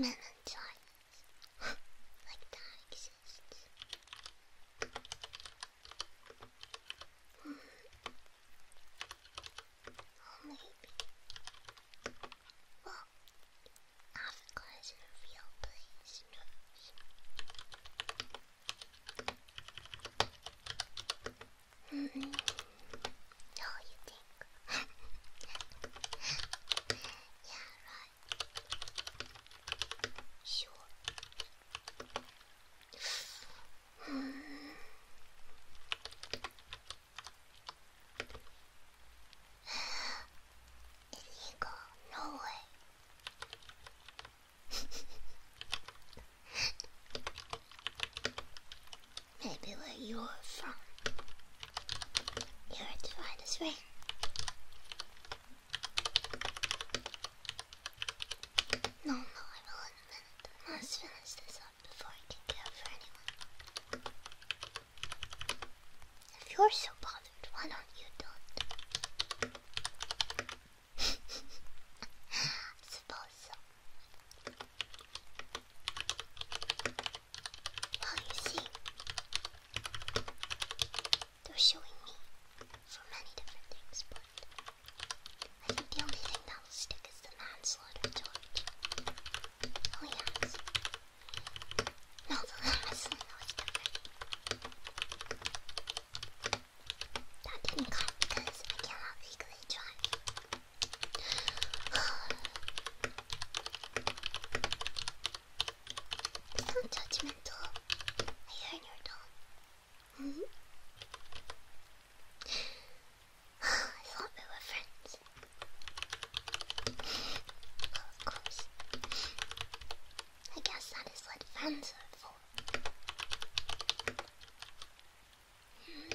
Men and giants. like that exists oh, maybe. Well, Africa is a real place, -hmm. No, you think? yeah, right. Sure. Illegal, no way. Maybe where you're from. You're trying to ring. No, no, I will in a minute. I must finish this up. If you're so bothered, why don't you don't? Well, you see, they're showing me for many different things, I think the only thing that'll stick is the manslaughter charge. Oh yes. No, the wrestling That didn't cut because I cannot legally drive. it's not judgmental. I heard your dog. -hmm. I thought we were friends. I guess that is what friends are for. Hmm.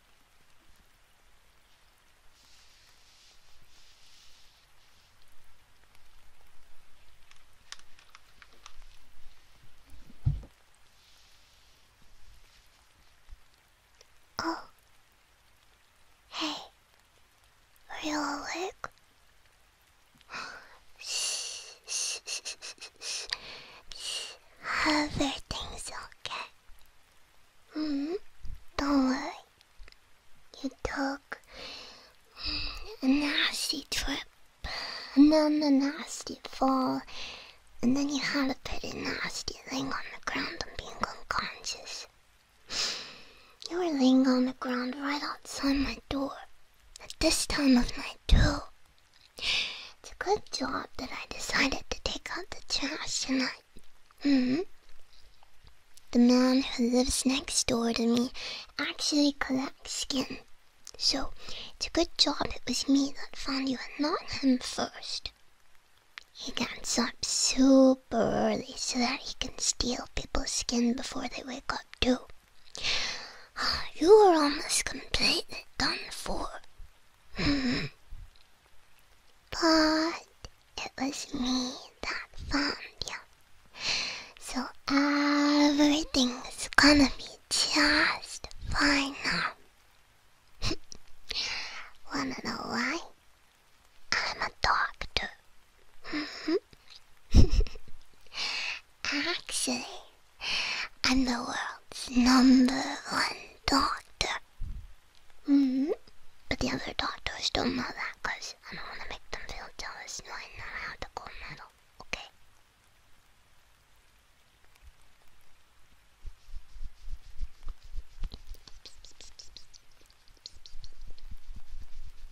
Oh. Hey. Are you awake? everything's okay. Mm, don't worry. You took a nasty trip, and then a nasty fall, and then you had a pretty nasty thing on the ground and being unconscious. You were laying on the ground right outside my door, at this time of night too. It's a good job that I decided to take out the trash tonight. Mm-hmm. The man who lives next door to me actually collects skin. So it's a good job it was me that found you and not him first. He gets up super early so that he can steal people's skin before they wake up too. Ah, you are almost completely done for. but it was me that found you. So everything's gonna be just fine now. Wanna know why? I'm a doctor. Actually, I'm the world's number one doctor. hmm But the other doctors don't know that because I don't want to make them feel jealous knowing that I have the gold medal, okay?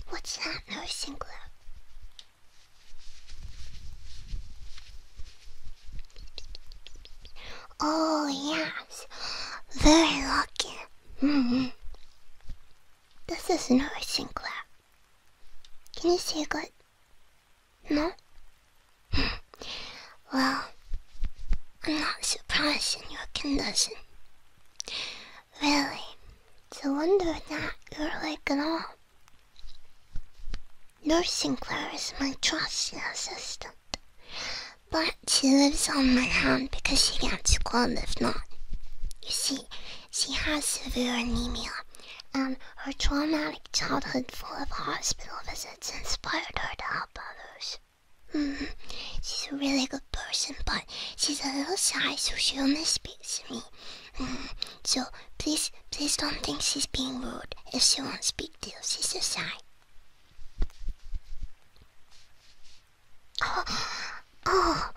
What's that nursing glove? Oh, yes. Very lucky. Mm -hmm. This is nourishing, Claire. Can you see good? No? well, I'm not surprised in your condition. Really, it's a wonder that you're awake at all. Nurse Sinclair is my trusty assistant, but she lives on my hand because she can't squirm if not. You see, she has severe anemia, and her traumatic childhood full of hospital visits inspired her to help others. Hmm, she's a really good person, but she's a little shy, so she only speaks to me. So please please don't think she's being rude. If she won't speak to you, she's so shy. Oh, oh,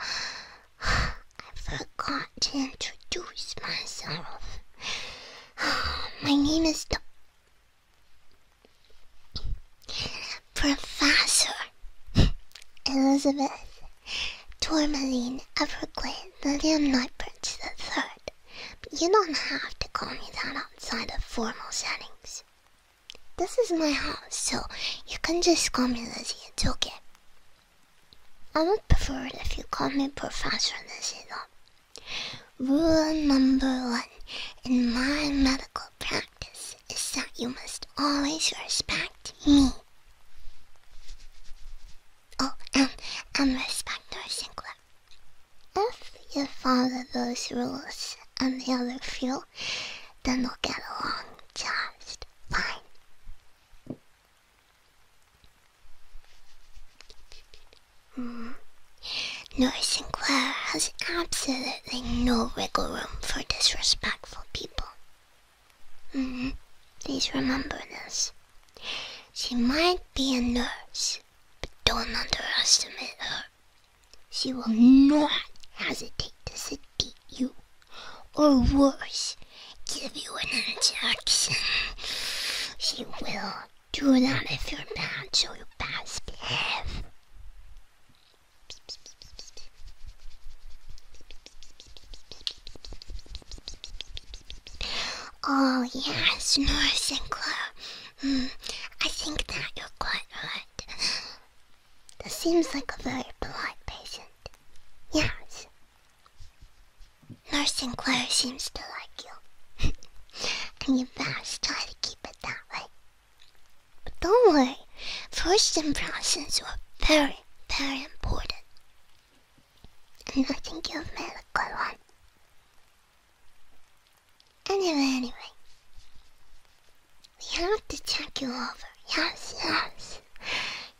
I forgot to introduce myself. My name is the Professor Elizabeth Tourmaline Everglade Lilium Night Prince the Third you don't have to call me that outside of formal settings. This is my house, so you can just call me Lizzie, it's okay. I would prefer it if you called me Professor Lizzie, though. Rule number one in my medical practice is that you must always respect me. Oh, and, and respect our singular. If you follow those rules and the other few, then we'll get along just fine. Mm. Nurse Sinclair has absolutely no wiggle room for disrespectful people. Mm-hmm. Please remember this. She might be a nurse, but don't underestimate her. She will not hesitate to seduce you, or worse, give you an injection. She will do that if you're not so you best behave. Oh, yes, Nora I think that you're quite right. That seems like a very polite patient. Yes. Nurse Sinclair seems to like you. and you best try to keep it that way. But don't worry, first impressions are very, very important. And I think you've made a good one. Anyway, anyway. We have to check you over. Yes, yes.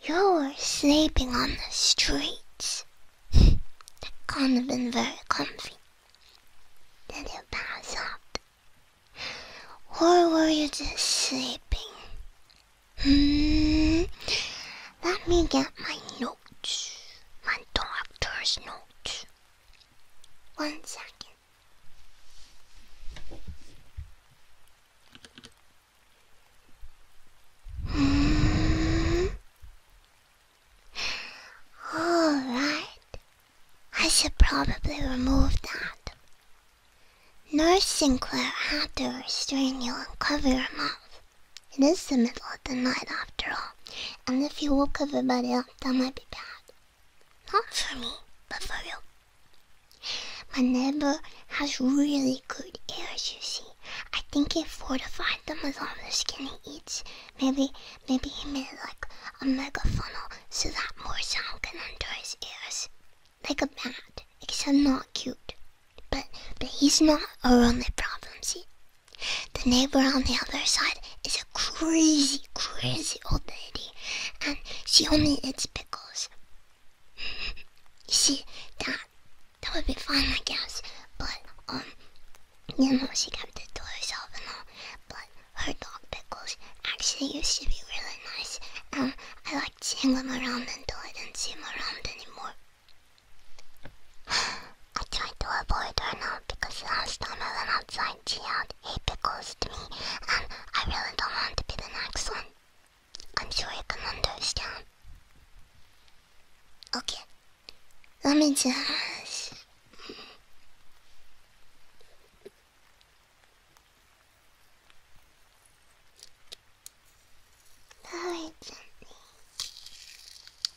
You were sleeping on the streets. that can't have been very comfy. Did you pass out? Where were you just sleeping? Hmm. Let me get my note. My doctor's note. One second. Hmm. Alright, I should probably remove that. Nurse Sinclair had to restrain you and cover your mouth. It is the middle of the night after all, and if you woke everybody up, that might be bad. Not for me, but for you. My neighbor has really good ears, you see. I think he fortified them as all the skin he eats. Maybe, maybe he made like a mega funnel so that more sound can enter his ears. Like a bat, except not cute. But, but he's not our only problem, see? The neighbor on the other side is a crazy, crazy old lady, and she only eats pickles. You See, that that would be fun, I guess, but um, you know, she kept the to herself and all. But her dog pickles actually used to be really nice, and I liked seeing him around until I didn't see him around anymore. I tried to avoid her now because last time I went outside she yelled, hey pickles to me and I really don't want to be the next one. I'm sure you can understand. Okay, let me just... Very gently.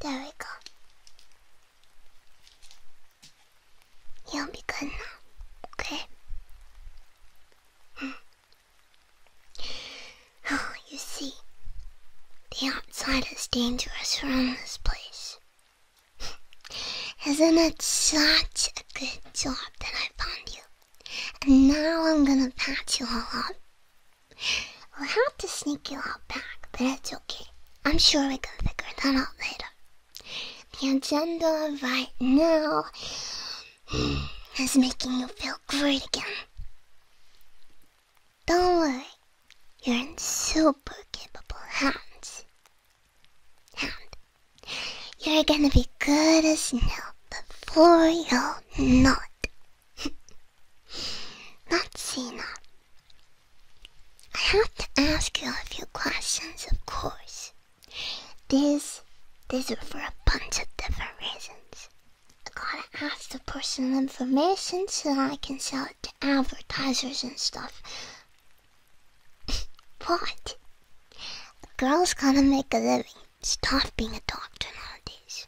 there we go. You'll be good now, okay? Mm. Oh, you see, the outside is dangerous around this place. Isn't it such a good job that I found you? And now I'm gonna pat you all up we will have to sneak you out back, but it's okay. I'm sure we can figure that out later. The agenda right now is making you feel great again. Don't worry, you're in super capable hands. And you're gonna be good as new before you know it. Not Sina. I have to ask you a few questions, of course. These, these are for a bunch of different reasons. I gotta ask the personal information so that I can sell it to advertisers and stuff. but, Girls gotta make a living. Stop being a doctor nowadays.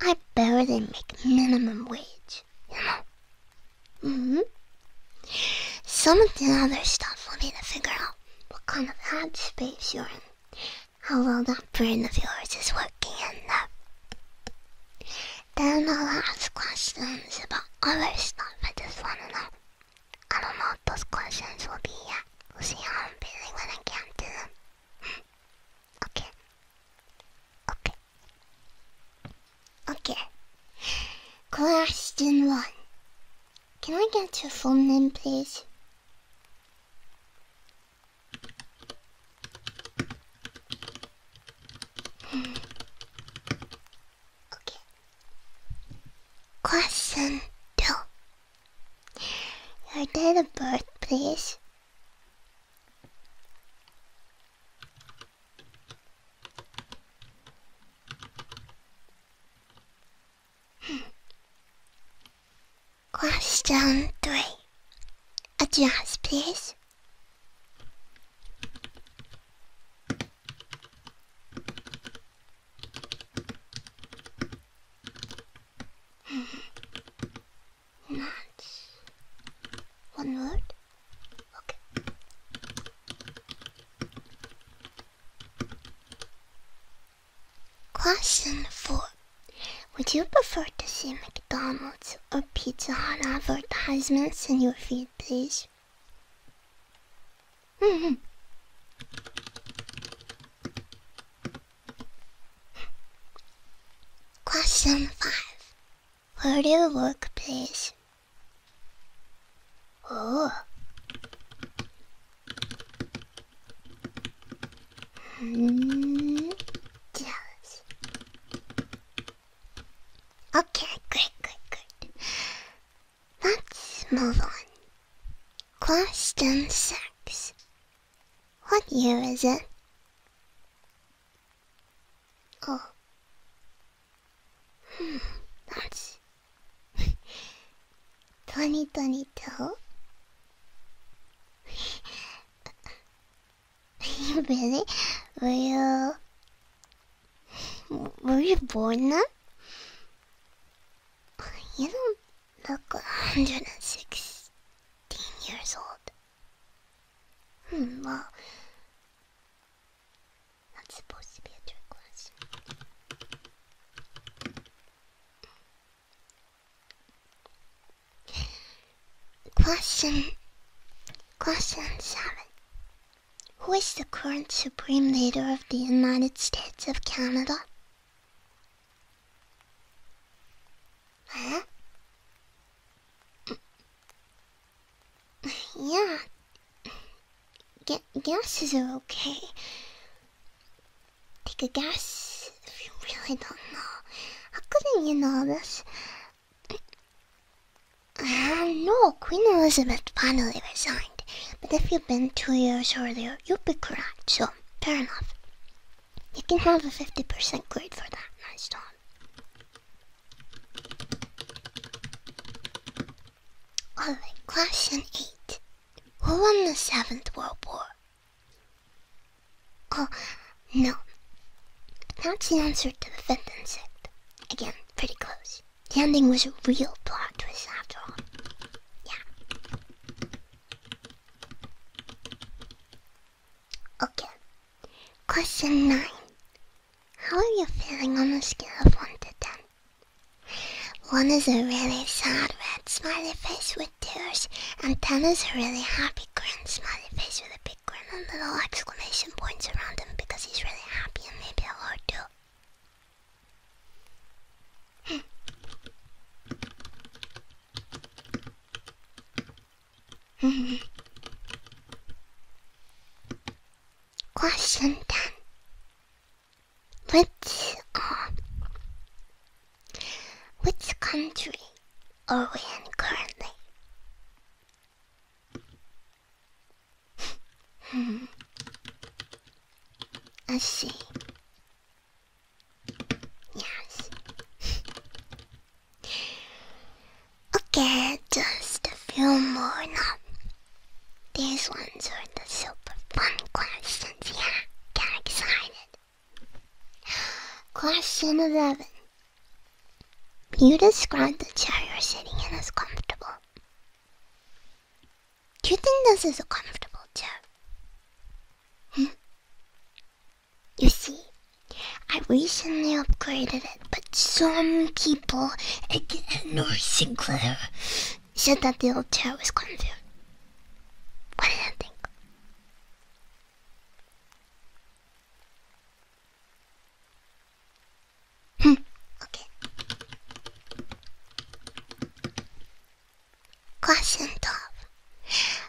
I better than make minimum wage, you know? Mm hmm Some of the other stuff will need to figure out what kind of ad space you're in, how well that brain of yours is working in there. Then I'll ask questions about other stuff I just want to know. I don't know if those questions will be yet. We'll see how I'm feeling when I get to them. Okay. Okay. Okay. Question one. Can I get your full name, please? Hmm. Okay. Question two. Your date of birth, please. Question three. Adjust, please. match. One word? Okay. Question 4. Would you prefer to see McDonald's or Pizza Hut advertisements in your feed, please? hmm Question 5. Where do you work, please? Oh. Hmm. Jealous. Okay, great, great, great. Let's move on. Question six. What year is it? あ。マジ。トニトニと Really? Were you... Were you born then? You don't look 116 years old. Hmm, well, that's supposed to be a trick question. Question Question seven. Who is the current Supreme Leader of the United States of Canada? Huh? Yeah. Gas is okay. Take a guess if you really don't know. How couldn't you know this? Uh, no, Queen Elizabeth finally resigned. But if you'd been two years earlier, you'd be correct, so fair enough. You can have a 50% grade for that, nice Tom. Alright, question 8. Who won the Seventh World War? Oh, no. That's the answer to the fifth and sixth. Again, pretty close. The ending was a real plot twist after all. Yeah. Okay. Question 9. How are you feeling on a scale of 1 to 10? 1 is a really sad red smiley face with tears, and 10 is a really happy grin smiley face with a big grin and little exclamation points around him because he's really happy and maybe a lot too. Hmm. Question 10. Which, uh, which country are we in currently? hmm. I see. Yes. Okay, just a few more now. These ones are the super fun questions, yeah? Get excited. Question 11. You describe the chair you're sitting in as comfortable. Do you think this is a comfortable chair? Hmm? You see, I recently upgraded it, but some people at North Sinclair said that the old chair was confounded. What did I think? Hmm. Okay. Klaus and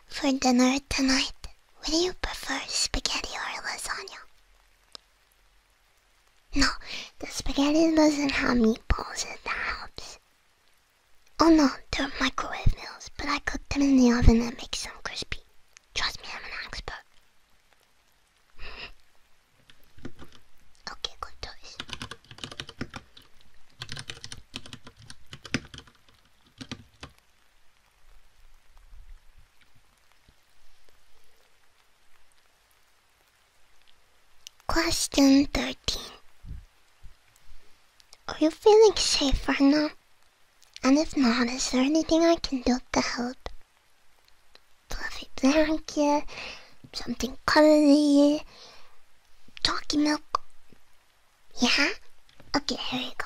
for dinner tonight. Would you prefer spaghetti or lasagna? No, the spaghetti doesn't have meatballs in the house. Oh no, they're microwave meals, but I cook them in the oven and make them crispy. Trust me, I'm an expert. Okay, good choice. Question 13 Are you feeling safe or not? And if not, is there anything I can do to help? Fluffy blanket, something cuddly, talking milk. Yeah? Okay, here we go.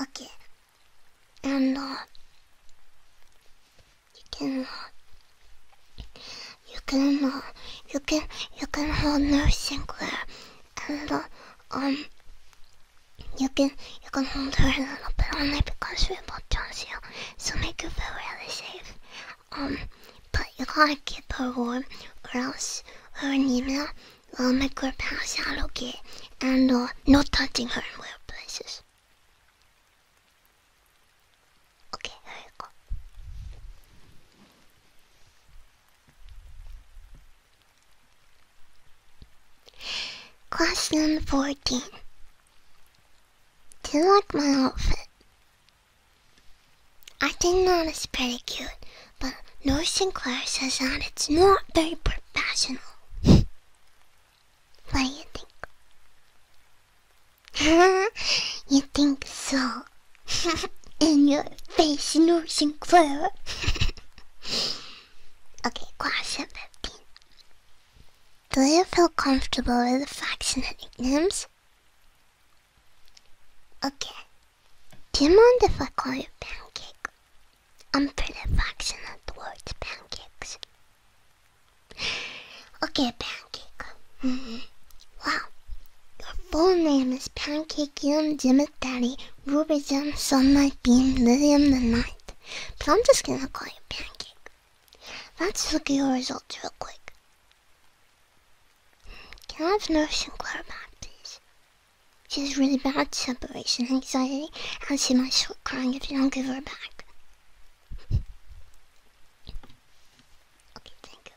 okay. And uh, you can, uh, you can, uh, you can, you can hold nothing Sinclair, and uh, um, you can, you can hold her a little bit only because we both trust you, so make you feel really safe. Um, but you gotta keep her warm, or else her anemia will make her pass out okay, and uh, no touching her in weird places. Okay, here you go. Question 14. Do you like my outfit? I think that is pretty cute, but North Sinclair says that it's not very professional. what do you think? you think so? In your face, North Sinclair. okay, class of 15. Do you feel comfortable with the facts and the nicknames? Okay, do you mind if I call you Pancake? I'm pretty affectionate towards pancakes. Okay, Pancake. Mm-hmm. Wow. Your full name is Pancake Yum Daddy Ruby Jam My Beam Lilium the Night. But I'm just gonna call you Pancake. Let's look at your results real quick. Can I have nurse and Sinclair back, please? She has really bad separation anxiety, I'll see my soul crying if you don't give her back. okay, thank you.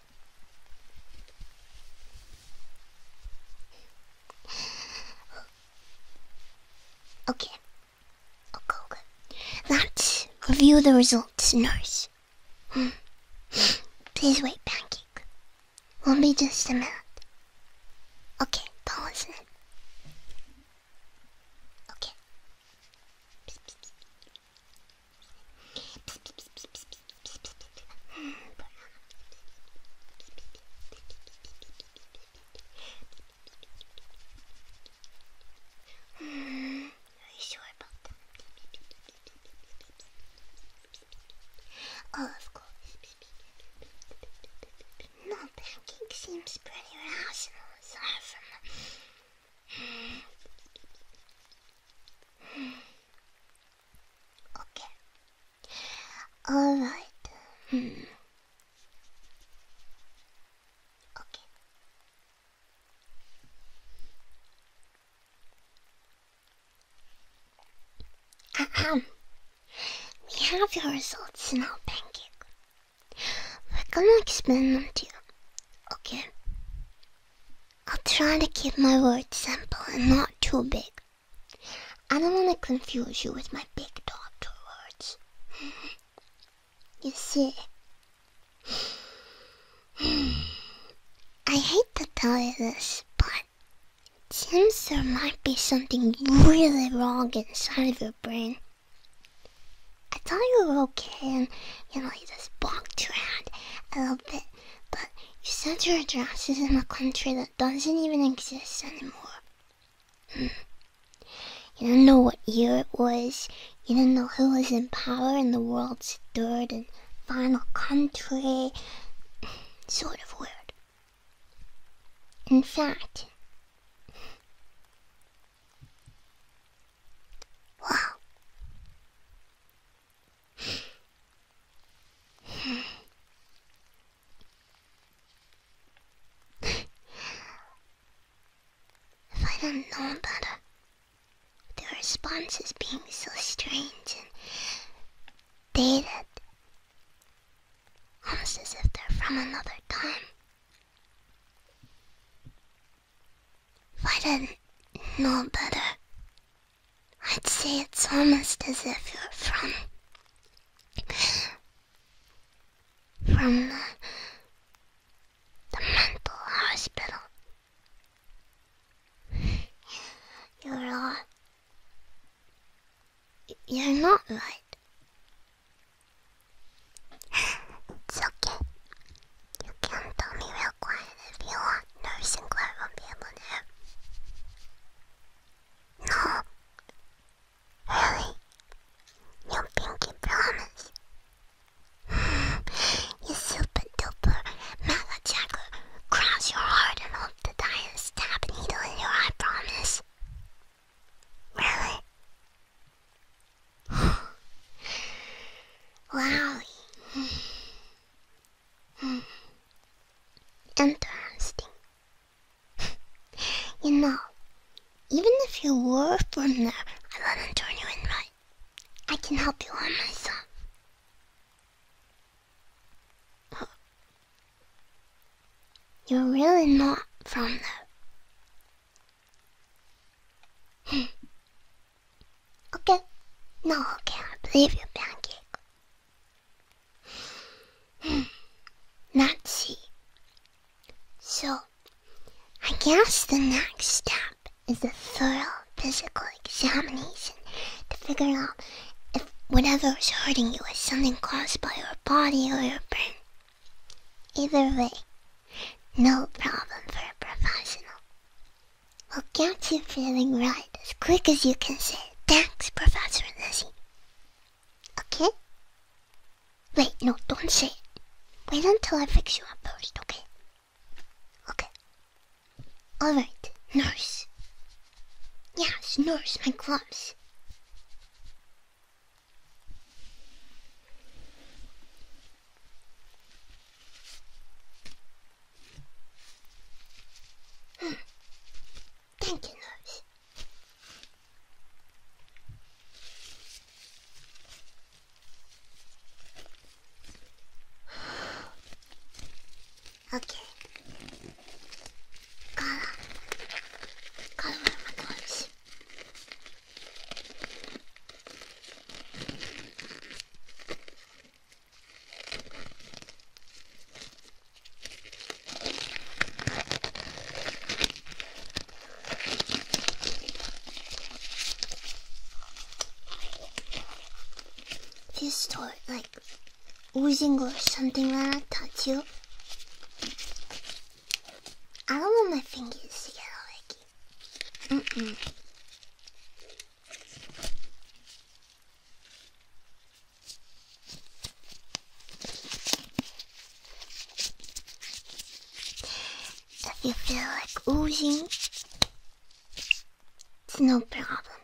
Okay. Okay, okay. Let's review the results, nurse. Please wait, Pancake. Won't be just a minute. Okay, don't listen. Okay. Oh, of course. No packing seems pretty rational okay. Alright. Um, okay. Ahem. Uh-huh. We have your results in now, Pancake. We're gonna them to you, okay? I'll try to keep my words simple and not too big. I don't want to confuse you with my big doctor words. you see, I hate to tell you this, but it seems there might be something really wrong inside of your brain. I thought you were okay and, you know, you just walked around a little bit, but you sent your address is in a country that doesn't even exist anymore. Hmm. you didn't know what year it was, you didn't know who was in power in the world third, and final country. Sort of weird. In fact, wow. I didn't know better, the responses being so strange and dated, almost as if they're from another time. If I didn't know better, I'd say it's almost as if you're from. from the, the mental hospital you're right. You're not right. It's okay. You can tell me real quiet if you want. No, Sinclair won't be No. Really? You pinky promise. you super duper mega jacker. Cross your heart and hope to die and stab a needle in your eye, promise. Really? wow. Interesting. you know, even if you were from there, I wouldn't turn you in right. I can help you on myself. You're really not from there. Hmm. okay. No, okay, I believe you, Pancake. Hmm. Let's see. So, I guess the next step is a thorough physical examination to figure out if whatever is hurting you was something caused by your body or your brain. Either way, no problem for a professional. We'll get you feeling right as quick as you can say, Thanks, Professor Lizzie. Okay? Wait, no, don't say it. Wait until I fix you up first, okay? Okay. All right, nurse. Yes, nurse, my gloves. Hmm. Thank you, nurse. Okay. Color. Color my clothes. This store, like like oozing or something when I touch you. I don't want my fingers to get all icky. Mm-mm. If you feel like oozing, it's no problem.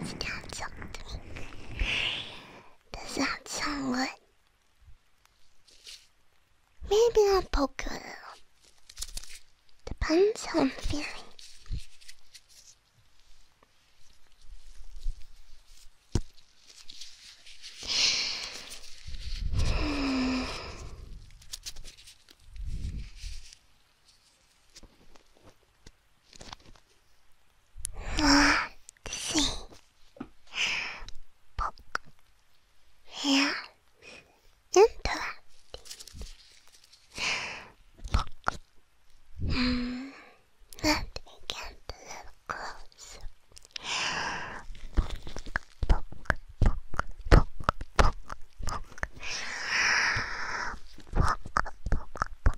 It's not talk Does that sound good? Maybe I'll poke you a little. Depends on i feeling. Let's see. Book. Yeah. Interesting. Book. Hmm. Let me get a little closer. Book, book, book, book, book, book. Book, book, book,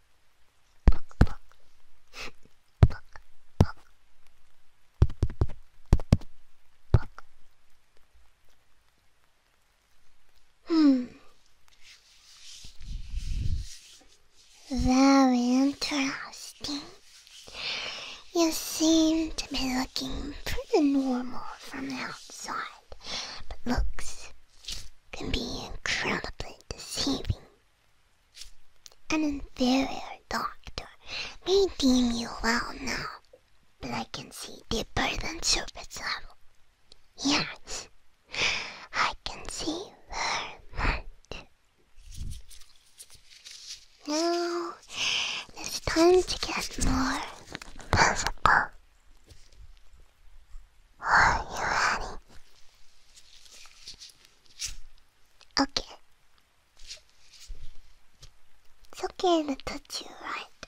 Hmm. Very interesting. You seem to be looking pretty normal from the outside, but looks can be incredibly deceiving. An inferior doctor may deem you well now, but I can see deeper than surface level. Yes, I can see very much. Now it's time to get more physical. Are you ready? Okay. It's okay to touch you, right?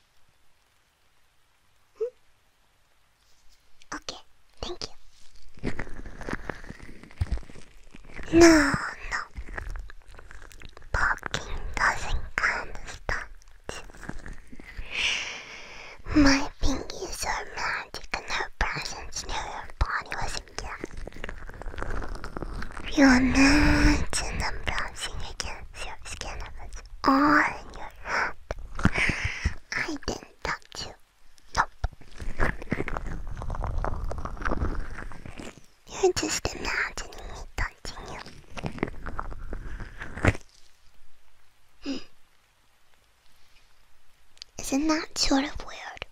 Hmm? Okay, thank you. No, no. Parking doesn't understand. My fingers are magic the new person's new body was a gift. You imagine them bouncing against your skin and all in your hand. I didn't touch you. Nope. You're just imagining me touching you. Hmm. Isn't that sort of weird?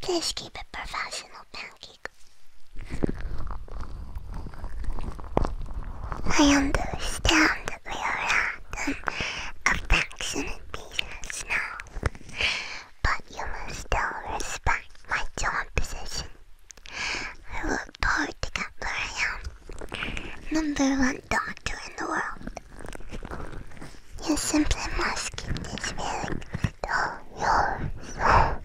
Please keep it professional, Pancake. I understand that we are at a affectionate business now, but you must still respect my job position. I worked hard to get where I am, number one doctor in the world. You simply must keep this feeling to yourself.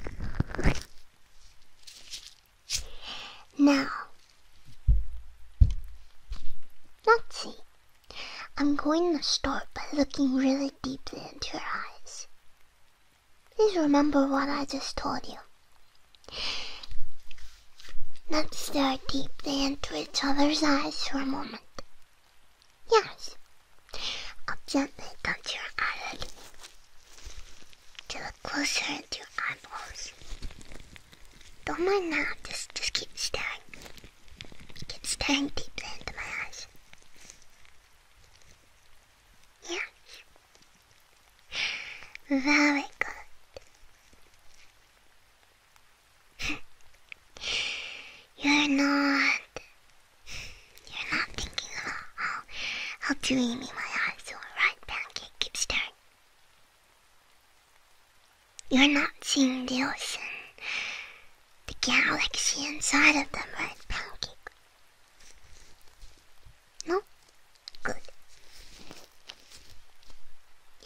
Now, let's see. I'm going to start by looking really deeply into your eyes. Please remember what I just told you. Let's stare deeply into each other's eyes for a moment. Yes. I'll gently touch your eyelid to look closer into your eyeballs. Don't mind now, just, just keep staring. Keep staring deeply into my eyes. Yes. Very good. You're not. You're not thinking about how, how dreamy my eyes are, right, Pancake staring. You're not seeing the ocean, the galaxy inside of them, right, Pancake? No? Good.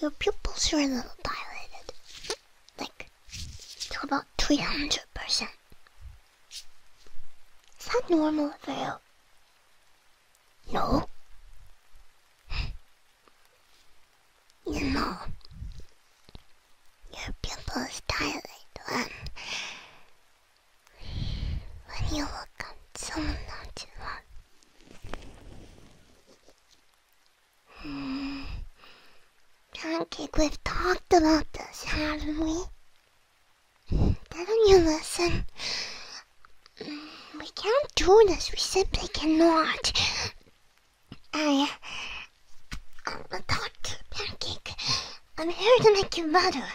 Your pupils are a little dilated. Like, to about 300%. Is that normal for No. You know, your pupils dilate when, when you look at someone not you love. Pancake, we've talked about this, haven't we? do not you listen? We can't do this, we simply cannot. I. I'm a doctor, Pancake. I'm here to make you better.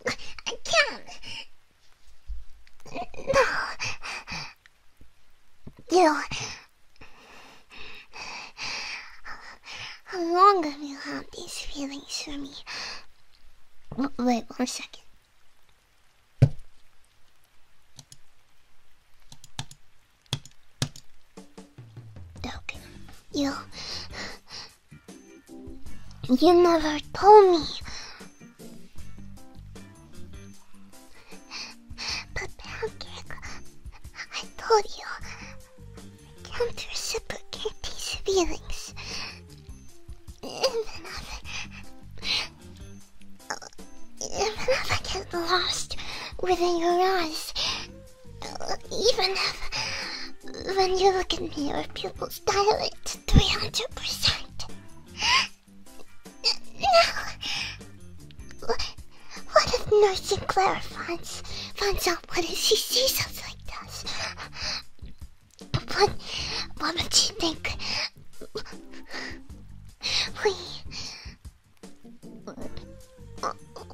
I can! No. You. How long have you had these feelings for me? Wait one second. Okay. You. You never told me. But pancake, I told you, I can't reciprocate these feelings. Even if, even if I get lost within your eyes, even if when you look at me your pupils dilate 300%. No. What if Nurse and Clara finds, out what if she sees us like this? What, what would she think? We...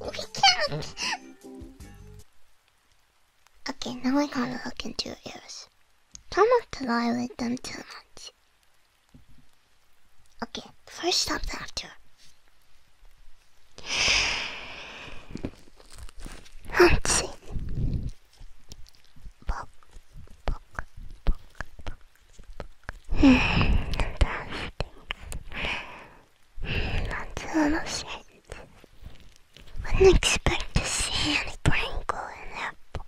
We can't! Okay, now I gotta look into your ears. Try not to with them too much. Okay, first stop after. Let's see. Book, book, book, book, book. Fantastic. Hmm, Sentence. Wouldn't expect to see any Pringle in that book,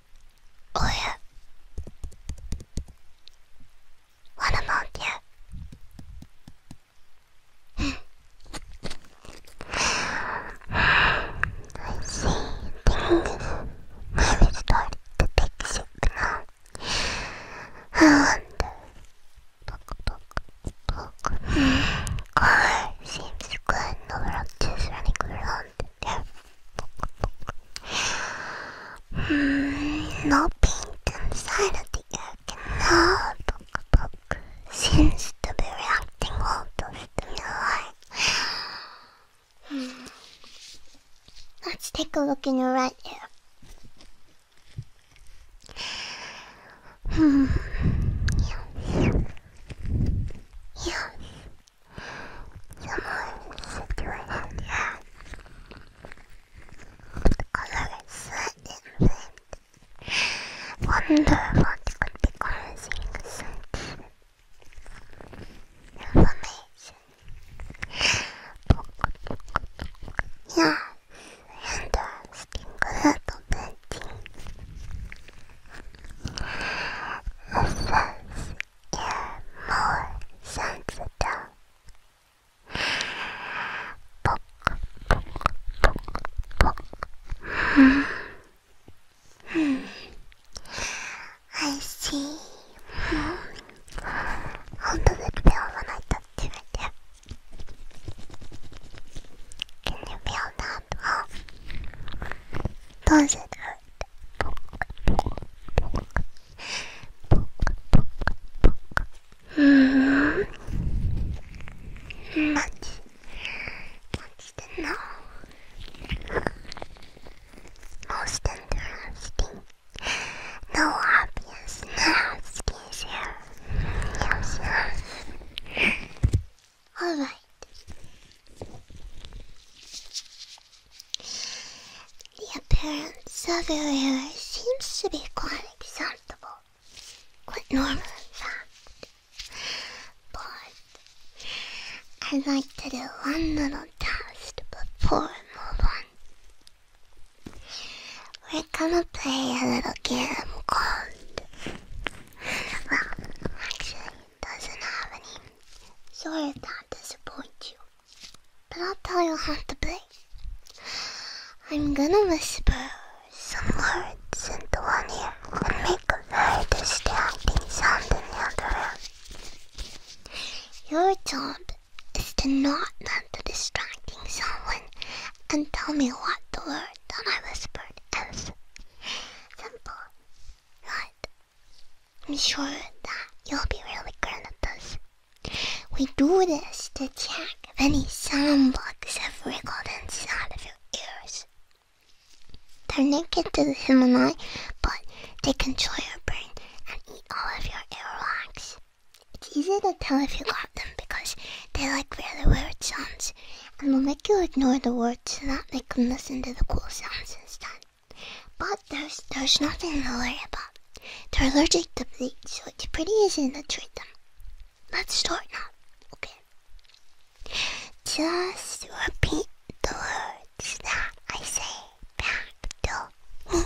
Oh yeah. What a month, yeah. I see. Thing I will start to take sick now. I Book, book, book. Car seems good. No roaches running around. There. Hmm, no paint inside the air canal. Seems to reacting well to stimuli. Hmm, let's take a look in your right ear. Hmm. Yes. Someone should do it out loud. The color is slightly Wonder what could be causing such inflammation. Yeah, interesting little painting. It says ear more sensitive. I see. How does it feel when I touch it? Can you feel that? does it hurt? 何してんのもうしてんだよ、スキン。No obvious, no skin's here. Alright. The appearance of your hair seems to be quite acceptable, quite normal in fact. But I'd like to do one little test before we move on. We're gonna play a little game called. Well, actually, doesn't have any sort of disappoint you, but I'll tell you how to play. I'm gonna whisper some words into one ear and make a very distracting sound in the other ear. Your job is to not let the distracting sound and tell me what the word that I whispered is. Simple, right? I'm sure that you'll be really good at this. We do this to check if any sound bugs have wriggled inside of your ears. They're naked to the human eye, but they control your brain and eat all of your earwax. It's easy to tell if you got them because they like really weird sounds and will make you ignore the words so that they can listen to the cool sounds instead. But there's there's nothing to worry about. They're allergic to bleach, so it's pretty easy to treat them. Let's start now, okay? Just repeat the words that I say back to me.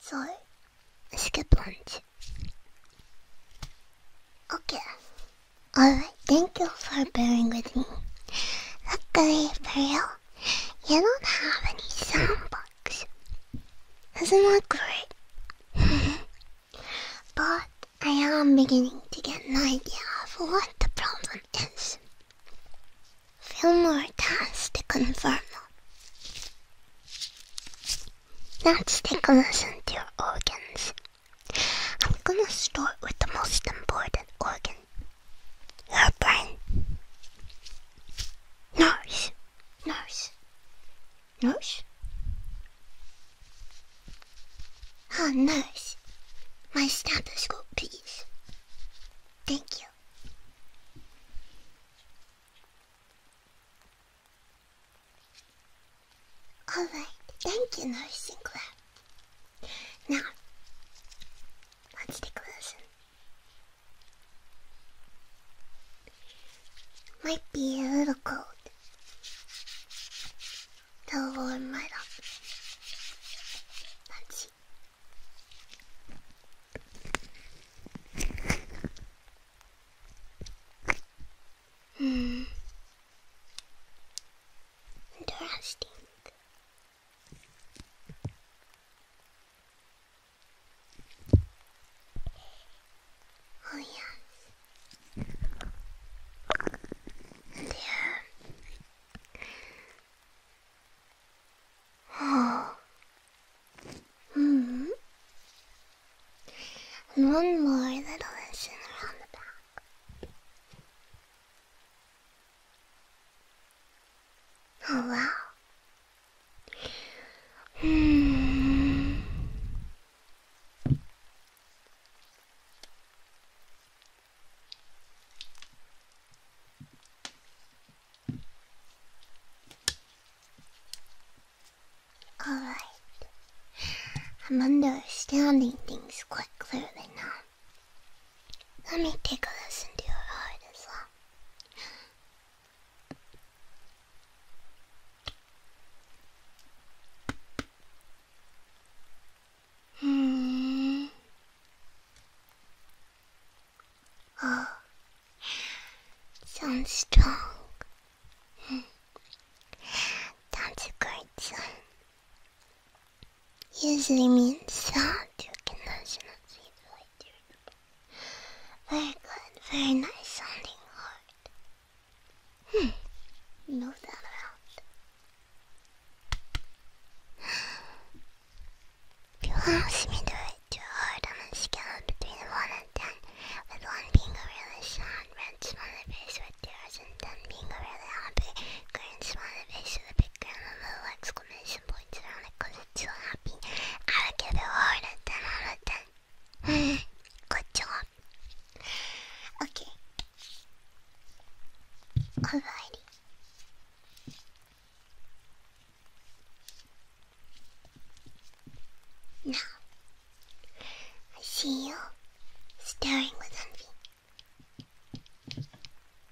So, skip lunch. Okay. Alright, thank you for bearing with me. Luckily for you, don't have any sound soundbox. does not that great? but I am beginning to get an idea of what the problem is. Few more tests to confirm Let's take a listen to your organs. I'm gonna start with the most important organ your brain. Nose. Nose. Nose? Oh, ah, nose. My stethoscope, please. Thank you. All right, thank you, Nurse Sinclair. Now, let's take a Might be a little cold. they warm right up. Let's see. Hmm. Interesting. Oh yes. Yeah. Oh, hmm. one more little lesson around the back. Oh, Hmm. Alright. I'm understanding things quite clearly now. Let me take a listen to your heart as well. Hmm. Oh, Sounds strong. That's a great sign. Usually means that you can listen and see the Very good, very nice sounding heart. Hmm, move that around. If you ask me to too hard on the scale between 1 and 10, with 1 being a really sad, red smiley face with tears, and 10 being a really happy, green smiley face with a big grin and little exclamation points around it because it's so happy. I would give it a 10 out of 10. Good job. Okay. Alrighty. Now, I see you staring with envy.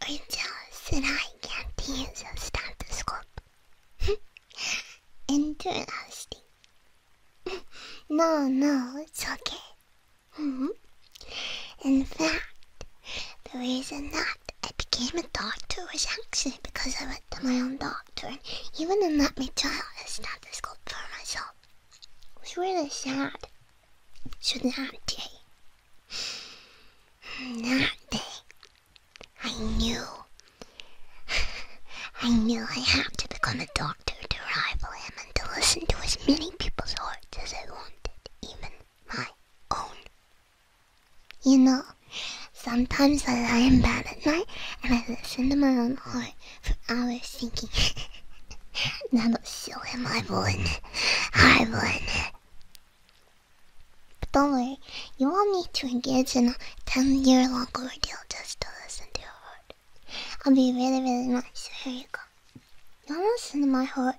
Are you jealous that I can't use a stethoscope? Interesting. No, no, it's okay. Mm-hmm. In fact, the reason that I became a doctor was actually because I went to my own doctor doctor even in that me child is not this good for myself. It was really sad. So that day, that day, I knew, I knew I had to become a doctor to rival him and to listen to as many people's hearts as I wanted, even my own. You know, sometimes I lie in bed at night and I listen to my own heart for hours thinking, I will show him I won, I won. But don't worry, you won't need to engage in a 10 year long ordeal just to listen to your heart. I'll be really, really nice. Here you go. Don't listen to my heart.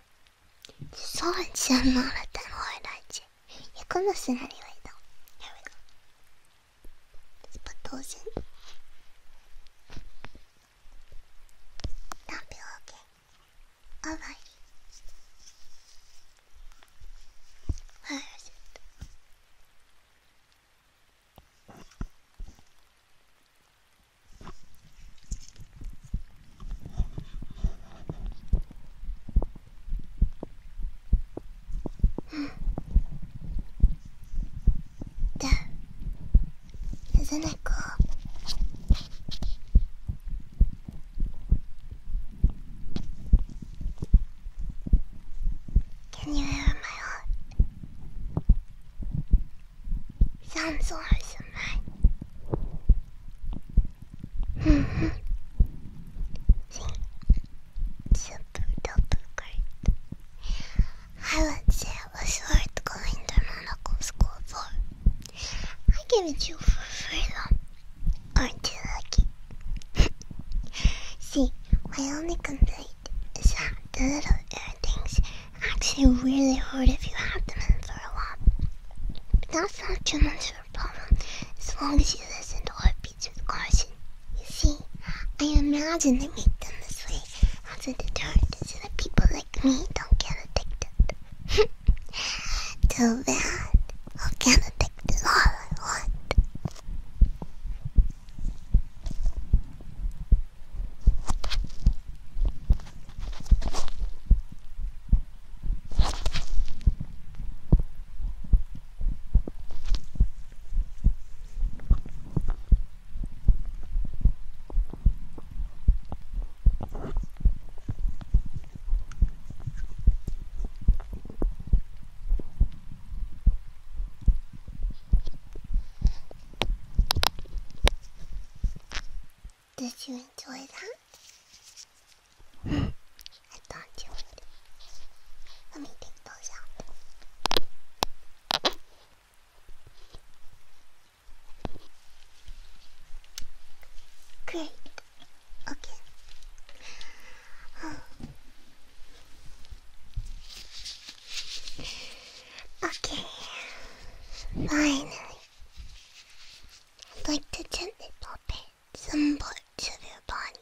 So it's not that hard, I you? you can listen anyway, though. Here we go. 不动心，not be okay. All right. Where is it? That, isn't it Can you hear my heart? Sounds so awesome, right? Super duper great. I would say it was worth going to Monaco school for. I give it you for free though. Aren't you lucky? See, my only complaint is that the little air things actually really hurt if you have them in for a while. But that's not too much of a problem as long as you listen to our you see, I imagine they make them this way as a deterrent so that people like me don't get addicted. Too bad. i can't addicted all I want. Did you enjoy that? I thought you would. Let me take those out. Great. Okay. Okay. Finally. like to gently pop in some parts of your body.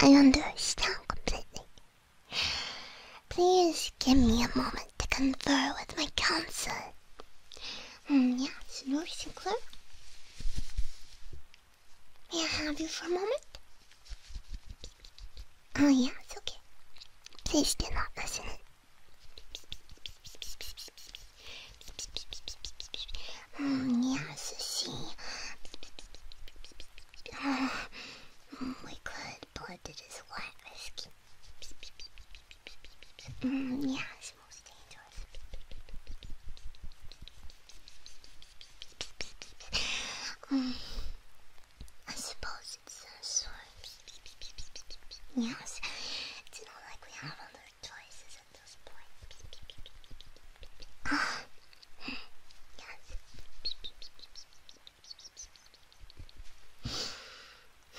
I understand completely. Please give me a moment to confer with my counsel. Mm, yes, Lord Sinclair? May I have you for a moment? Oh, yes, okay. Please do not listen in. Mm, yes, see we could put this white whiskey. Mm, yeah, it's most dangerous. Mm, I suppose it's a sort. Yes, it's not like we have other choices at this point. Ah, yes.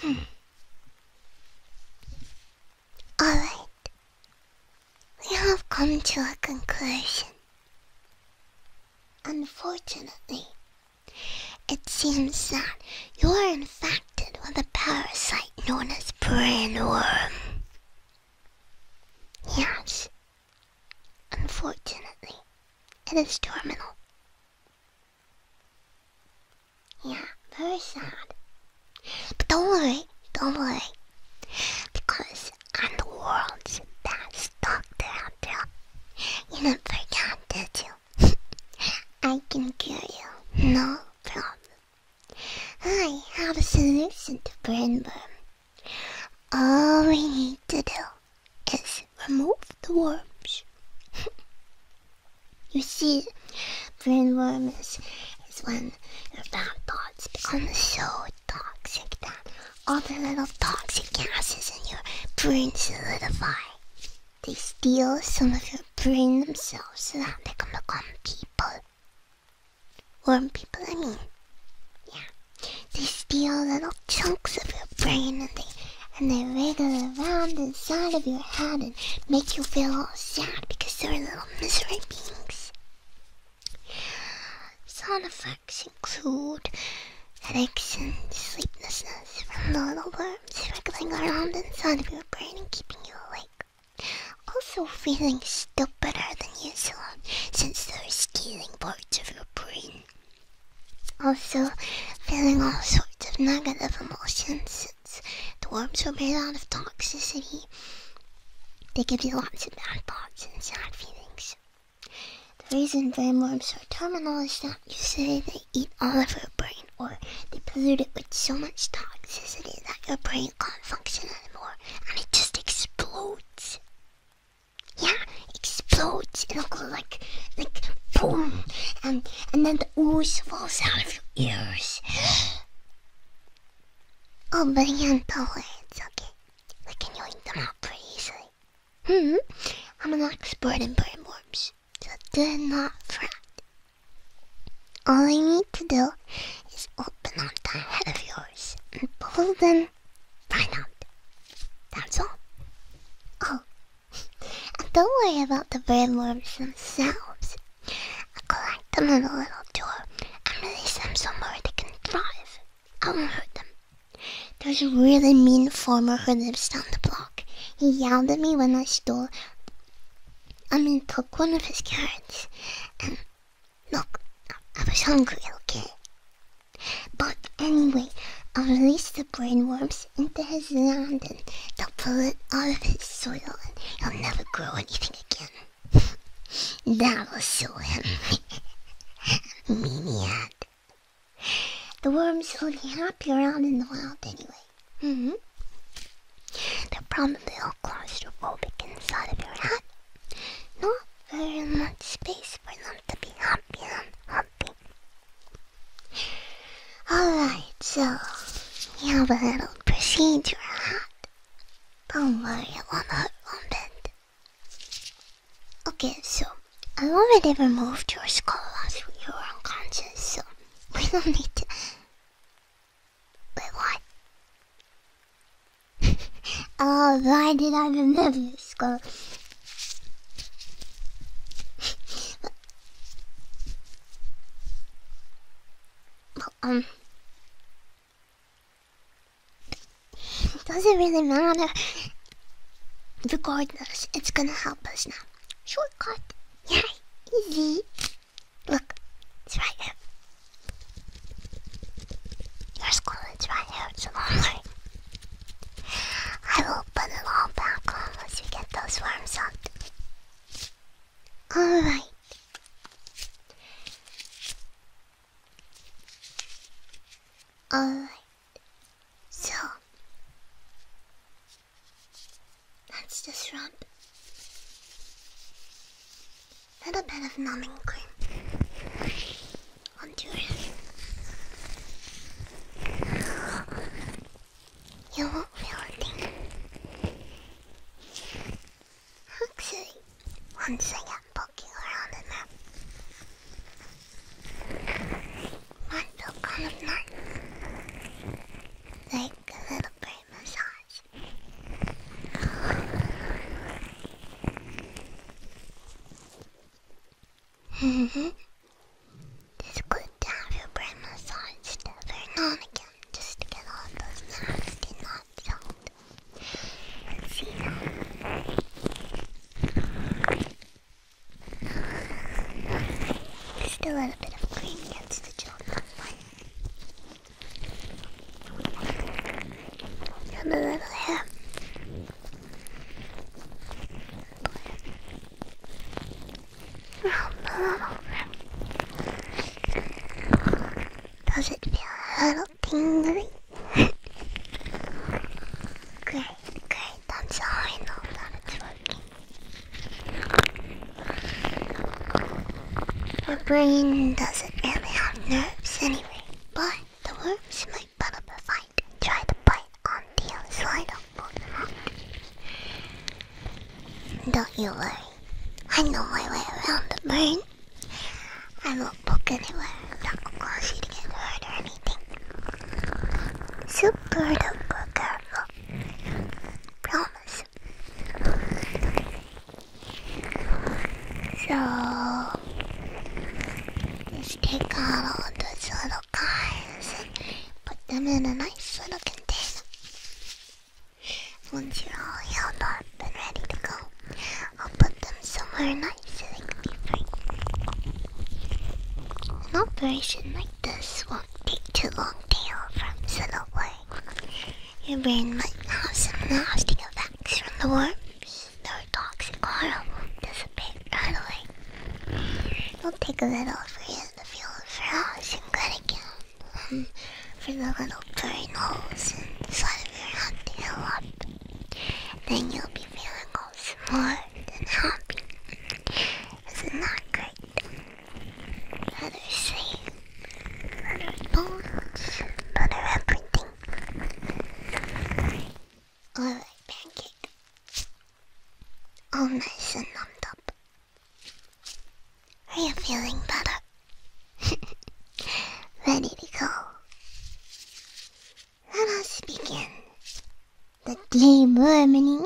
Alright. We have come to a conclusion. Unfortunately, it seems that you're infected with a parasite known as brainworm. Yes, Unfortunately, it is terminal. Yeah, very sad. But don't worry, don't worry. Because I'm the world's best doctor You are not did you? I can cure you, no problem. I have a solution to brain burn. All we need to do is remove the worms. you see, brainworms is, when your bad thoughts become so toxic that all the little toxic gases in your brain solidify. They steal some of your brain themselves so that they can become people. Or people, I mean. Yeah. They steal little chunks of your brain and they and they wriggle around inside of your head and make you feel all sad because they're little misery beings. Side effects include headaches sleeplessness from the little worms wriggling around inside of your brain keeping you awake. Also feeling still better than usual since they're stealing parts of your brain. Also, feeling all sorts of negative emotions since the worms are made out of toxicity. They give you lots of bad thoughts and sad feelings. The reason brain worms are terminal is that usually they eat all of your brain or they pollute it with so much toxicity that your brain can't function anymore and it just explodes. Yeah, explodes and go like, like, boom, and and then the ooze falls out of your ears. Oh, but again, don't it's okay. I can yank them out pretty easily. Hmm, I'm an expert in worms, so do not fret. All I need to do is open up the head of yours and pull them or violent. That's all. Oh, and don't worry about the brainworms themselves. I collect them in a little jar and release them somewhere they can thrive. I won't hurt them. There's a really mean farmer who lives down the block. He yelled at me when I stole, I mean, took one of his carrots, and Look, I, was hungry, okay? But anyway, I'll release the brainworms into his land and they'll pull it out of his soil and he'll never grow anything again. that will sue him. Maniac. The worms will be happy around in the wild anyway. Mm -hmm. They're probably claustrophobic inside of your hat. Not very much space for them to be happy happy. Alright, so we have a little procedure ahead. Don't worry, it won't hurt one bit. Okay, so I already removed your skull last week. You are unconscious, so we don't need to. Wait, what? oh, why did I remember this quote? well, um, it doesn't really matter. Regardless, it's gonna help us now. Shortcut. Yeah, easy. Look, it's right here. Your school is right here, so I will put it all back on once we get those worms out. Alright. Alright. So. That's the shrub. Little bit of numbing cream onto it. You won't feel a thing. Actually, once I get poking around in there, might feel kind of nice. Like a little brain massage it's good to have your brain massaged every now and again just to get all those knots out. Let's see Just a little bit of cream gets the job done. a little hair. Does it feel a little tingling? great, great. That's how I know it's working. Your brain doesn't really have nerves anyway, but the worms might part of the fight. Try to bite on the outside of Don't you worry. I know my way around the burn. I won't poke anywhere. I'm cause you to get hurt or anything. Super duper careful. Promise. So just take out all those little cars and put them in a nice little container. Once you're all healed up and ready to go, I'll put them somewhere nice so they can be free. An operation like this won't take too long to heal from, so don't worry. Your brain might have some nasty effects from the war their toxic aura will dissipate right away. It'll take a little for you to feel fresh and good again. for the little blurry holes inside of your head up. Then you'll be feeling all smart and happy. Isn't that great? Better sleep, better bones, better everything. All right, like pancake. All nice and numbed up. Are you feeling better? Ready to go? Let us begin the dream harmony.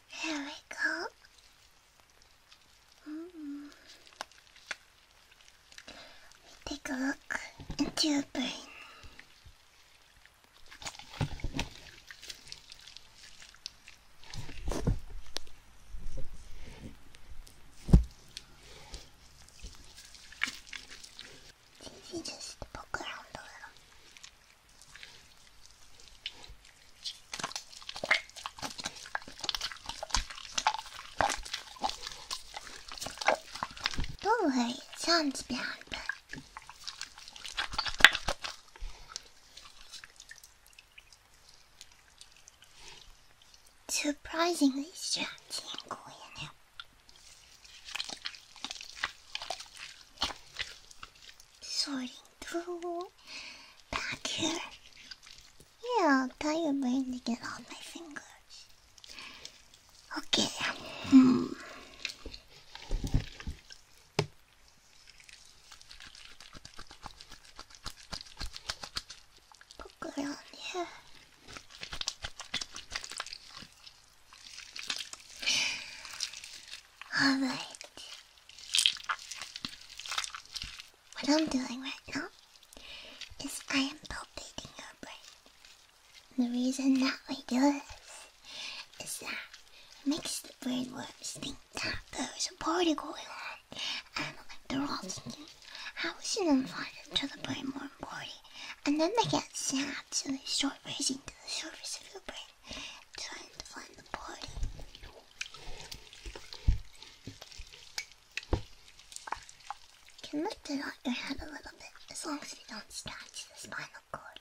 Here we go. Mm. Take a look into your brain. If just poke around a little, do sounds bad, but surprisingly stretchy and cool, through back here. Yeah, I'll tie your brain to get all my fingers. Okay. Hmm. Poke around here. All right. What I'm doing right now is I am palpating your brain. And the reason that I do this is that it makes the brain brainworms think that there's a party going on, and they're all thinking, "How was she invited to the brainworm party?" And then they get sad, so they start rising to the surface of your brain. Can we it on your head a little bit, as long as we don't scratch the spinal cord.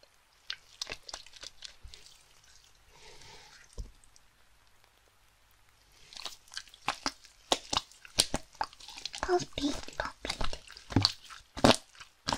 Puff beat,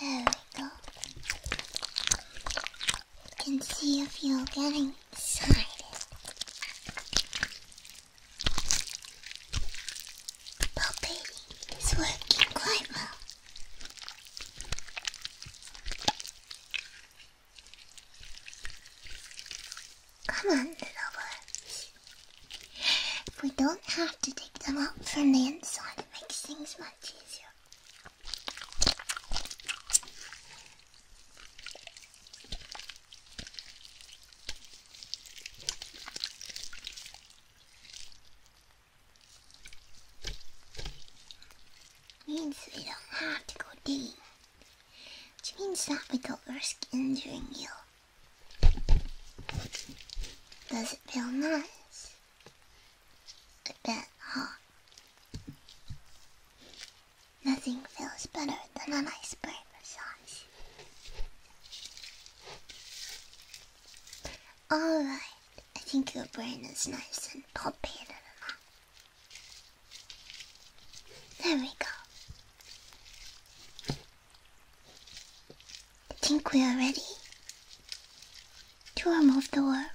There we go. can see if you're getting excited. Palpating is working quite well. Come on, lover. We don't have to dig them out from the inside. It makes things much easier means we don't have to go digging. Which means that we don't risk injuring you. Does it feel nice? A bit, huh? Nothing feels better than a an iceberg massage. Alright, I think your brain is nice and poppy enough. There we go. I think we are ready to remove the worms.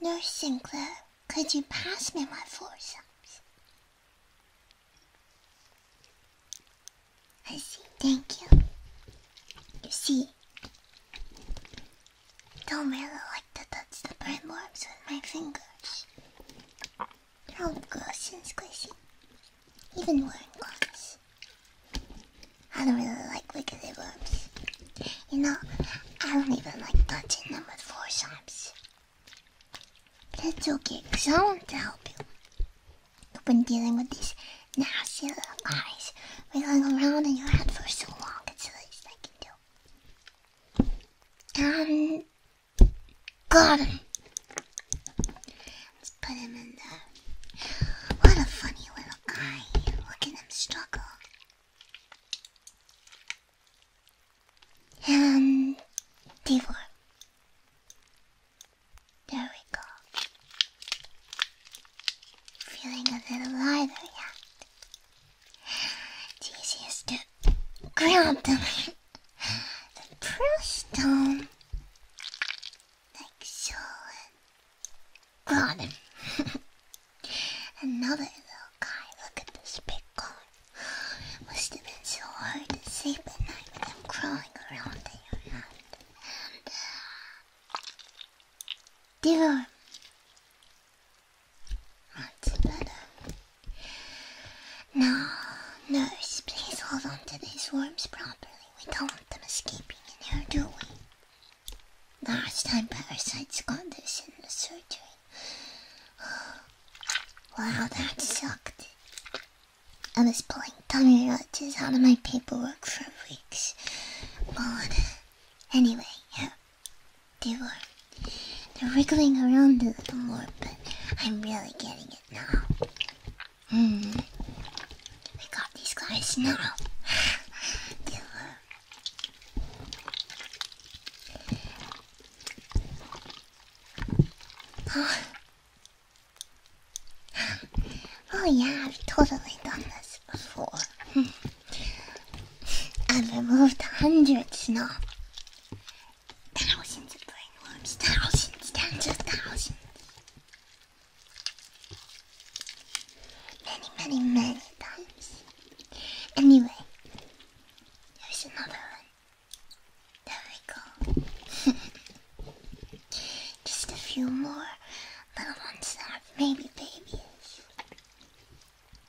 Nurse Sinclair, could you pass me my forceps? I see, thank you. You see, don't really like to touch the brainworms with my fingers. How gross and squishy. Even wearing gloves. I don't really like wiggly worms. You know, I don't even like touching them with forceps. But it's okay, because I want to help you. You've been dealing with these nasty little eyes wiggling around in your head for so long, it's the least I can do. Um, got him. Let's put him in there. What a funny little guy. Look at struggle. And um, D4. There we go. Feeling a little lighter yet. It's easiest to grab them and push them like so God. Another little guy. Look at this big guy. Must have been so hard to sleep tonight with them crawling around in your mouth. dear. That's better. nurse, please hold on these worms properly. We don't want them escaping in here, do we? Last time parasites got this in the surgery. Wow, that sucked. I was pulling tummy roaches out of my paperwork for weeks. But Anyway, they were. They're wriggling around a little more, but I'm really getting it now. Hmm. We got these guys now. Oh. oh yeah, I've totally done this before. I've removed hundreds, no. Thousands of brainworms, thousands, tens of thousands. Many, many, many times. Anyway, there's another one. There we go. Just a few more little ones that maybe babies.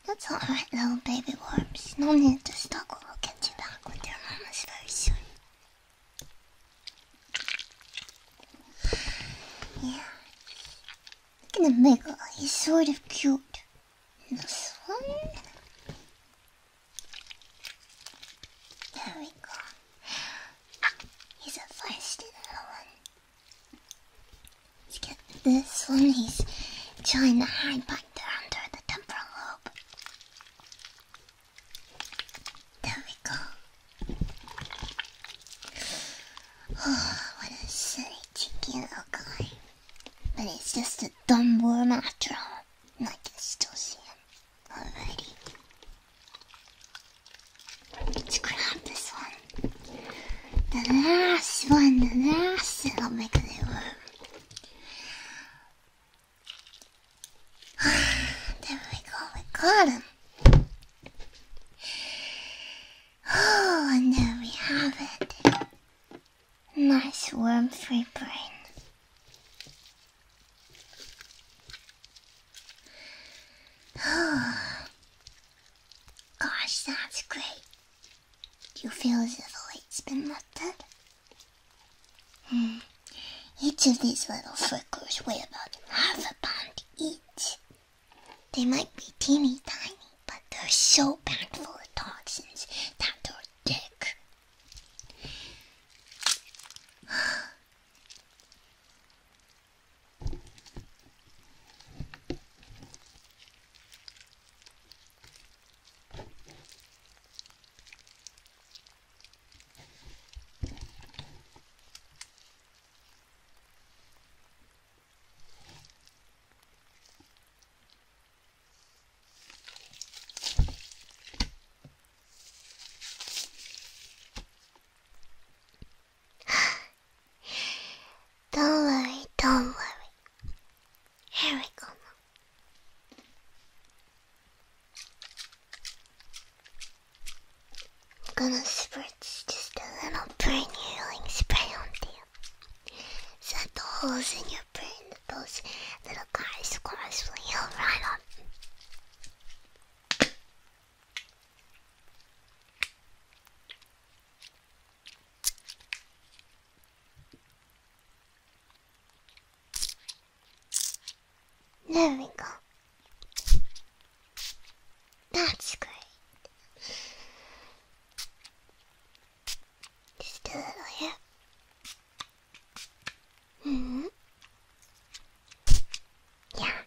That's alright, little baby worms. No need to struggle. We'll get you back with your mamas very soon. Yeah, Look at the Miguel, he's sort of cute. this one? There we go. He's a feisty one. Let's get this one, he's trying to hide back there under the temporal lobe. There we go. Oh, what a silly, cheeky little guy. But it's just a dumb worm after all. And I can still see him. Alrighty. Let's grab this one. The last one, the last little megalith worm. there we go, we got him. Oh, and there we have it. Nice worm-free brain. Gosh, that's great. Do You feel as if a light's been lifted? Hmm. Each of these little flickers weigh about half a pound each. They might be teeny tiny, but they're so packed full of toxins that they're thick. don't worry, don't worry. Here we come. I'm gonna spritz just a little brain healing spray on you. So that the holes in your brain that those little guys squirrels will heal right up. There we go. That's great. Just a little here. hmm. Yeah.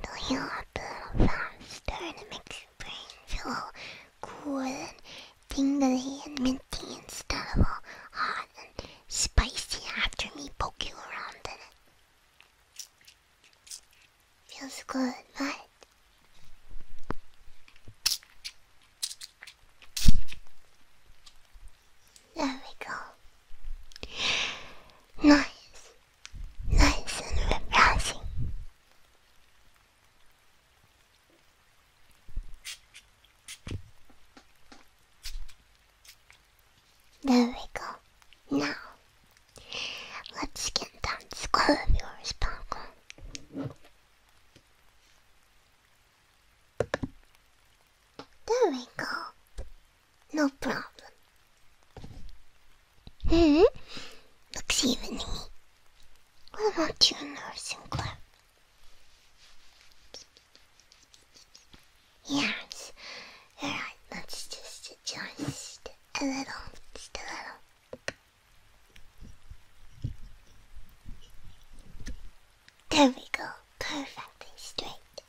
They'll a little faster and it your brain feel cool and tingly and minty instead of all hot and spicy after me poke you around in it. Feels good, right? There we go. Nice. Nice and refreshing. There we go. Now Let's get that skull of yours, Paco. There we go. No problem. Hmm? Looks even to me. What about you, Nurse Yes, Alright, let's just adjust a little, just a little. There we go, perfectly straight.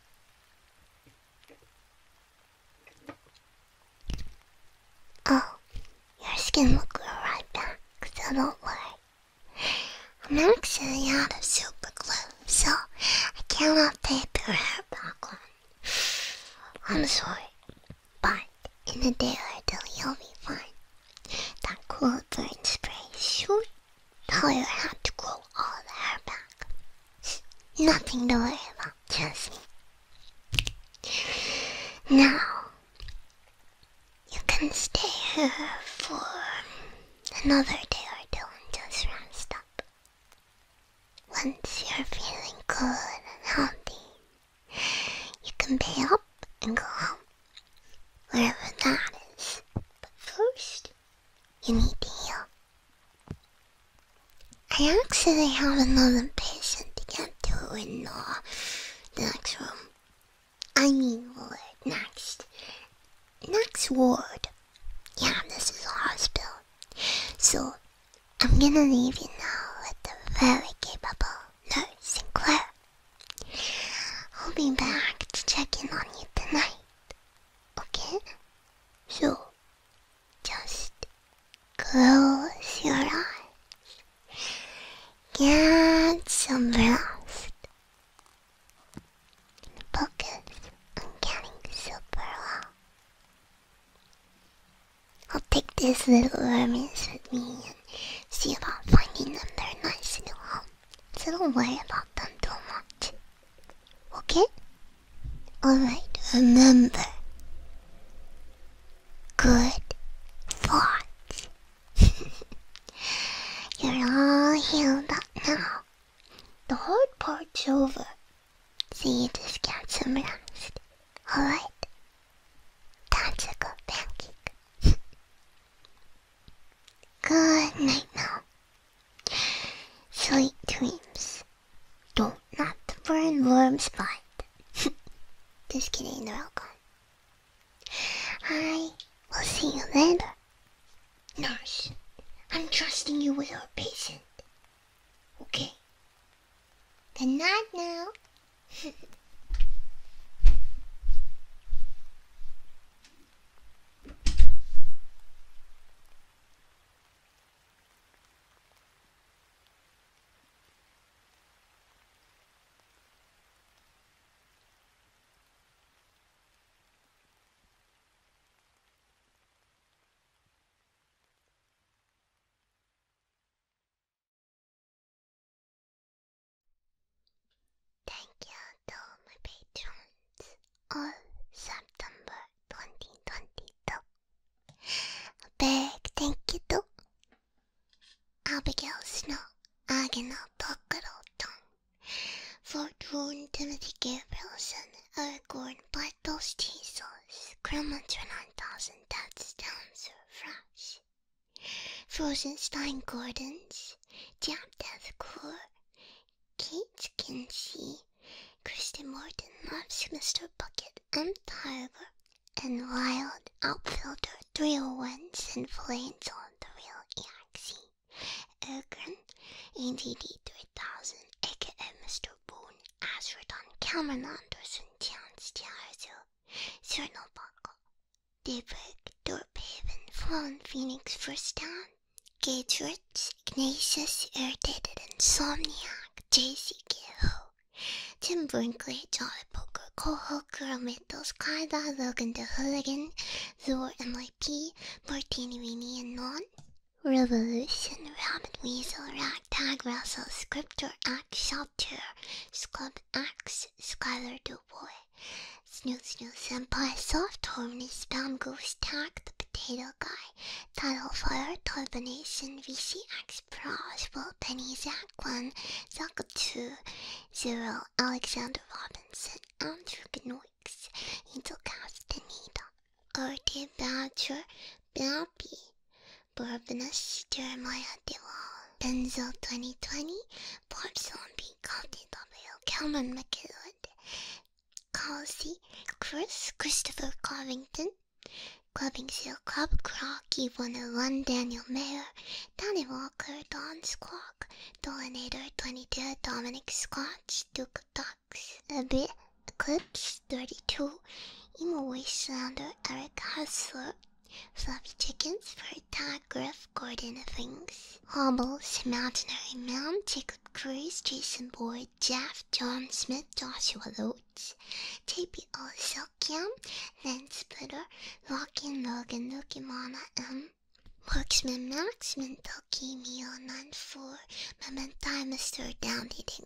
Oh, your skin will grow right back, so don't worry. I'm actually out of super glue, so I cannot tape your hair back on. I'm sorry, but in a day or two you'll be fine. That cool burn spray shoot. Now you have to grow all the hair back. Nothing to worry about, trust Now, you can stay here for another day or two and just rest up. Once you're feeling good and healthy, you can pay up and go home, wherever that is. But first, you need to heal. I actually have another patient to get to in the next room. I mean, ward next. Next ward. Yeah, this is a hospital. So I'm gonna leave you now with a very capable No Sinclair. I'll be back to check in on you tonight. Okay? So, just close your eyes. Get some rest. Focus on getting super well. I'll take these little wormies with me and see about finding them their nice new home. So don't worry about them too much. Okay? Alright, remember. Good thoughts. You're all healed up now. The hard part's over. See you just count some last. Alright? Time That's a to pancake. good night now. Sweet dreams. Don't not burn worms bite. just kidding, they're all gone. I will see you later. Nurse, I'm trusting you with our patient. Okay? Good night now. Thank you to my patrons of September 2022. A big thank you to Abigail Snow, Agana Takaroton, Fort Wound Timothy Gabrielson, Aragorn Pine like those tea sauce, Grandma's nine thousand that's down so fresh. Frozen Stein Gordons, Jam Death Core, Kate Kinsey, Kristen, Morton loves Mr. Bucket and Tyler, and Wild Outfielder oh and Flames on the Real EXE, Ergren, ADD 3000, aka Mr boğun er şuradan Cameron Anderson Arzu Cyril Buckle Daybreak Dorphaven Fallen Phoenix First Down Gage Ignatius Irritated Insomniac J.C. Gill Tim Brinkley Jolly Poker Coho Girl Mittles Kyla Logan the Hooligan Lure MIP Martini and Non Revolution Rabbit Weasel Ragtag Russell Scriptor black shelter, scrub axe, skylar the boy, Snooze, snoo senpai, soft harmonies, bamboo stack, the potato guy, Title fire, turbination, VCX pros, will penny, Zach one, Zaka two, zero, Alexander Robinson, Andrew Gnoix, Angel Castaneda, Arte Badger, Bappy, Twenty Twenty, Chris, ブラブナッシュ・ジェレマヤでは、デンゼル2020、ポッソン・ビン・カーティ・ダブル、キャメン・マケロッド、カーシー、クリス・クリストファー・カーヴィントン、Clubbing Seal Club, Crocky 101, Daniel Mayer, Danny Walker, Don Squawk, Dolinator 22, Dominic Squatch, Duke Ducks, Abby Eclipse 32, Emo Wasteland Eric Hustler, Fluffy Chickens for Todd Griff, Gordon Things, Hobbles, Imaginary Man, Jacob Cruz, Jason Boyd, Jeff, John Smith, Joshua Loads, JP Oliselkian, Len Splitter, Lockin Logan, Loki Mama M. Marksman Max, Mentalky, Meal 94, Memento, Mr. Down Eating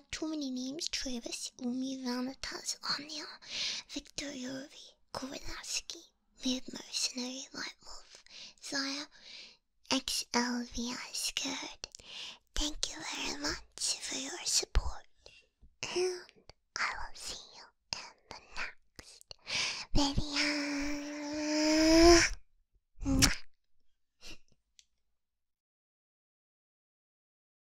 too many names Travis, Umi, Vanitas, Omnia, Victor Yuri, Kordaski, Mid Mercenary, White Wolf, Zaya, XLVI Thank you very much for your support, and I will see you in the next video.